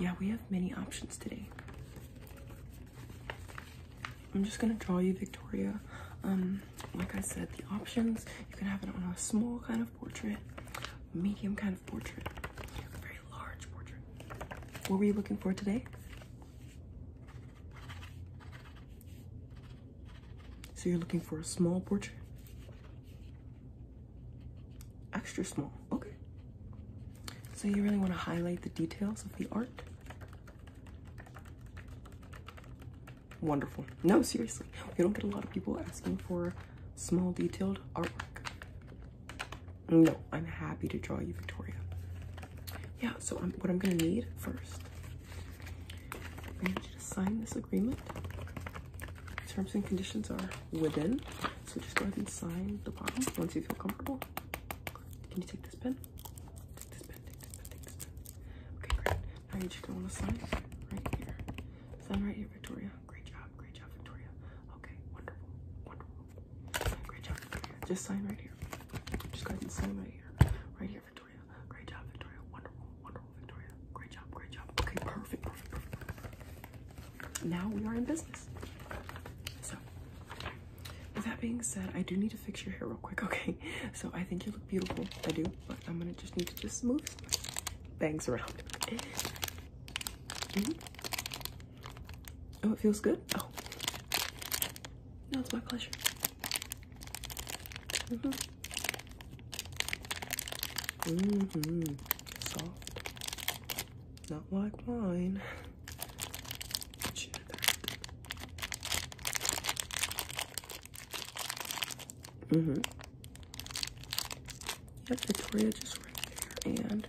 Yeah, we have many options today. I'm just gonna draw you, Victoria. Um, like I said, the options you can have it on a small kind of portrait, medium kind of portrait, very large portrait. What were you looking for today? So you're looking for a small portrait? Extra small, okay. So you really want to highlight the details of the art? Wonderful. No, seriously, we don't get a lot of people asking for small detailed artwork. No, I'm happy to draw you, Victoria yeah, so what I'm gonna need first, I need you to sign this agreement. Terms and conditions are within, so just go ahead and sign the bottom once you feel comfortable. Can you take this pen? Take this pen, take this pen, take this pen. Okay, great. Now you just gonna wanna sign right here. Sign right here, Victoria. Great job, great job, Victoria. Okay, wonderful, wonderful. Great job, Victoria. Just sign right here. Just go ahead and sign right here. Right here, Victoria. Great job, Victoria. Wonderful, wonderful, Victoria. Great job, great job. Okay, perfect, Now we are in business. So, with that being said, I do need to fix your hair real quick, okay? So I think you look beautiful. I do, but I'm gonna just need to just move bangs around. Mm-hmm. Oh, it feels good? Oh. Now it's my pleasure. Mm hmm. Mm hmm. Soft. Not like mine. Mm hmm. Yep, Victoria just right there. And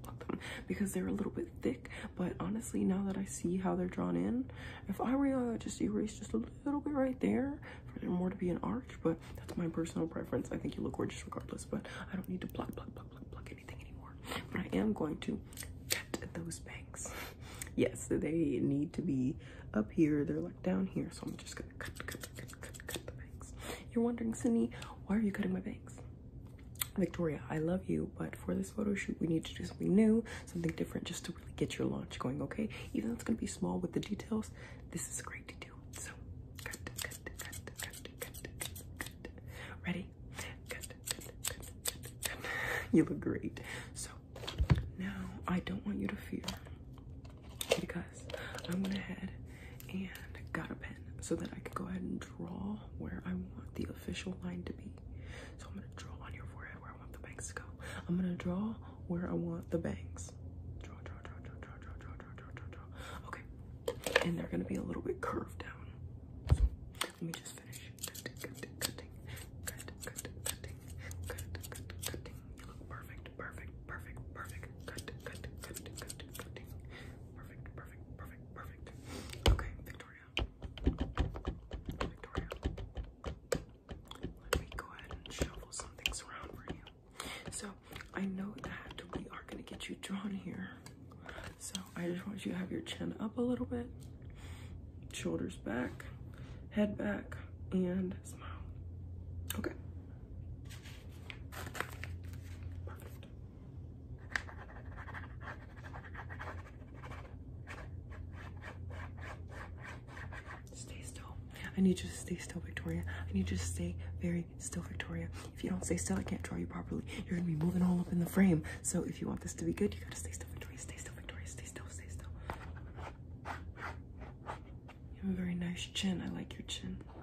because they're a little bit thick. But honestly, now that I see how they're drawn in, if I were you, I would just erase just a little bit right there for there more to be an arch. But that's my personal preference. I think you look gorgeous regardless, but I don't need to pluck, pluck, pluck, pluck, pluck anything anymore. But I am going to cut those bangs. Yes, they need to be up here. They're like down here, so I'm just gonna you're wondering, Sydney, why are you cutting my bangs? Victoria, I love you, but for this photo shoot, we need to do something new, something different, just to really get your launch going, okay? Even though it's gonna be small with the details, this is great to do. So, Ready? You look great. So, now I don't want you to fear because I went ahead and got a pen so that I could go ahead and draw where I want the official line to be. So I'm gonna draw on your forehead where I want the bangs to go. I'm gonna draw where I want the bangs. Draw, draw, draw, draw, draw, draw, draw, draw, draw, draw, Okay, and they're gonna be a little bit curved down. let me just finish. Perfect, perfect, perfect, perfect. Cut, cut, cut, cut, cutting. Perfect, perfect, perfect, perfect. Okay, Victoria. Victoria. Let me go ahead and shuffle some things around for you. So I know that we are gonna get you drawn here. So I just want you to have your chin up a little bit, shoulders back, head back and smile. Okay. Perfect. Stay still. I need you to stay still, Victoria. I need you to stay very still, Victoria. If you don't stay still, I can't draw you properly. You're gonna be moving all up in the frame. So if you want this to be good, you gotta stay still, Victoria. Stay still, Victoria. Stay still, stay still. You have a very nice chin. I like your chin. Look,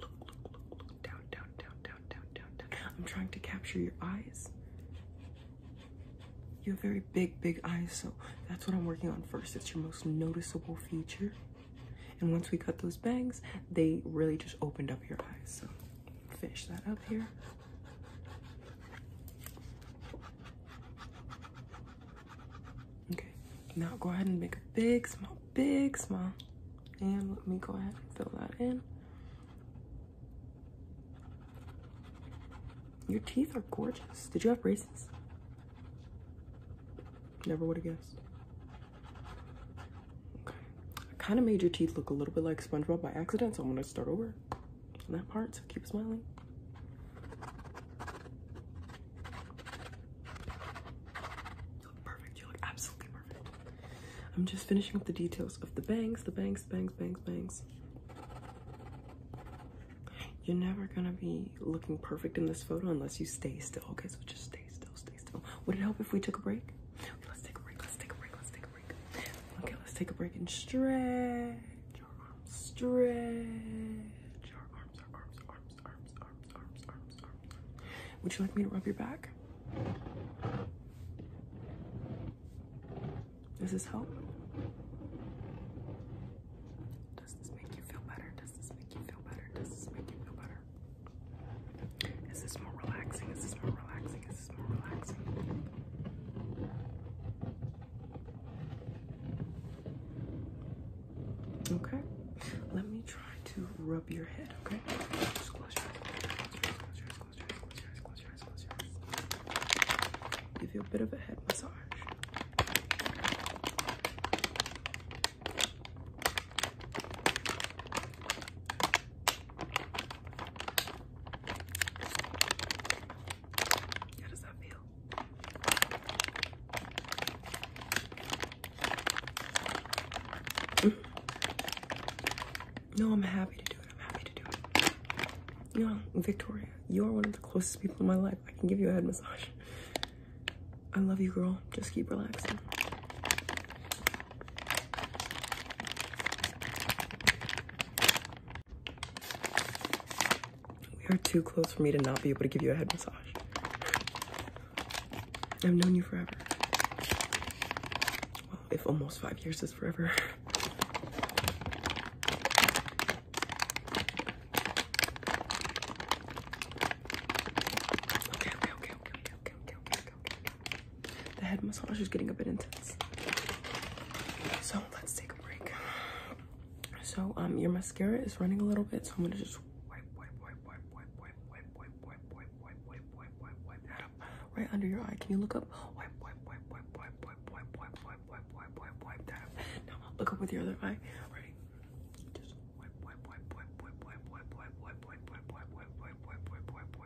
look, look, look. Down, down, down, down, down, down, I'm trying to capture your eyes. You have very big, big eyes, so that's what I'm working on first. It's your most noticeable feature. And once we cut those bangs, they really just opened up your eyes. So finish that up here. Okay, now go ahead and make a big smile, big smile. And let me go ahead and fill that in. Your teeth are gorgeous. Did you have braces? Never would have guessed. Okay. I kind of made your teeth look a little bit like SpongeBob by accident, so I'm going to start over that part, so keep smiling. You look perfect. You look absolutely perfect. I'm just finishing up the details of the bangs, the bangs, bangs, bangs, bangs. You're never gonna be looking perfect in this photo unless you stay still. Okay, so just stay still, stay still. Would it help if we took a break? Okay, let's take a break, let's take a break, let's take a break. Okay, let's take a break and stretch stretch arms arms arms arms arms arms arms arms would you like me to rub your back does this help does this make you feel better does this make you feel better does this make you feel better is this more relaxing? Is this more relaxing? Is this more relaxing? Okay, let me try to rub your head, okay? close your eyes. Give you a bit of a head massage. How does that feel? No, I'm happy to do it. I'm happy to do it. You know, Victoria, you are one of the closest people in my life. I can give you a head massage. I love you, girl. Just keep relaxing. We are too close for me to not be able to give you a head massage. I've known you forever. if almost five years is forever. okay, okay, okay, okay, okay, okay, okay, okay, the head massage is getting a bit intense. So let's take a break. So um, your mascara is running a little bit, so I'm gonna just wipe, wipe, wipe, wipe, wipe, wipe, wipe, wipe, wipe, wipe, wipe, wipe, wipe, wipe, wipe that up right under your eye. Can you look up? Wipe, wipe, wipe, wipe, wipe, wipe, wipe, wipe, wipe, wipe, wipe, wipe, wipe that up. Now look up with your other eye. Ready? Just wipe, wipe, wipe, wipe, wipe, wipe, wipe, wipe, wipe, wipe, wipe, wipe, wipe, wipe, wipe, wipe, wipe, wipe,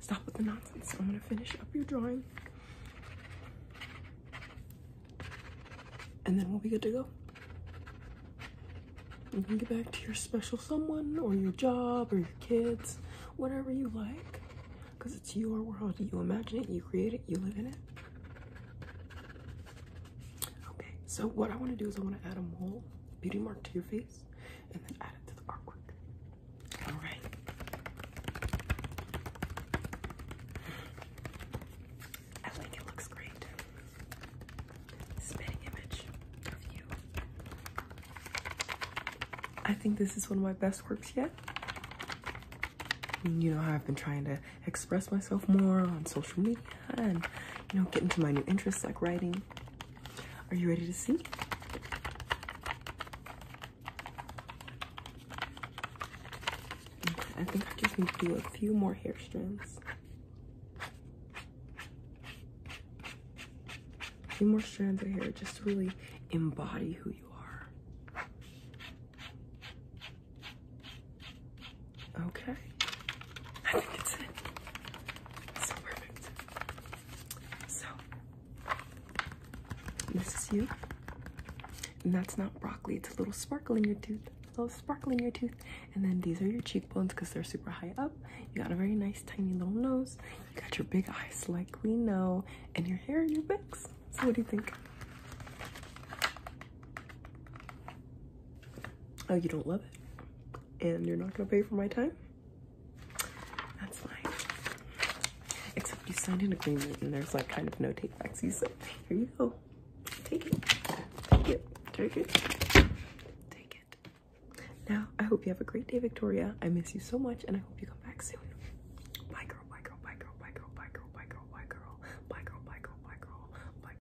stop with the nonsense. I'm gonna finish up your drawing. And then we'll be good to go. You can get back to your special someone or your job or your kids, whatever you like. Because it's your world. You imagine it, you create it, you live in it. Okay, so what I want to do is I want to add a mole beauty mark to your face and then add it to the artwork. All right. I think it looks great. Spitting image I think this is one of my best works yet. You know how I've been trying to express myself more on social media and you know get into my new interests like writing. Are you ready to see? I think I just need to do a few more hair strands. A few more strands of hair just to really embody who you are. Okay. I think that's it. It's perfect. So, this is you. And that's not broccoli, it's a little sparkle in your tooth. A little sparkle in your tooth. And then these are your cheekbones because they're super high up. You got a very nice tiny little nose. You got your big eyes like we know. And your hair and your backs. So what do you think? Oh, you don't love it? and you're not gonna pay for my time? That's fine. Except you signed an agreement and there's like kind of no take backs. You said, here you go. Take it. Take it. Take it. Take it. Now, I hope you have a great day, Victoria. I miss you so much and I hope you come back soon. Bye, girl. Bye, girl. Bye, girl. Bye, girl. Bye, girl. Bye, girl. Bye, girl. Bye, girl. Bye, girl. Bye, girl. Bye.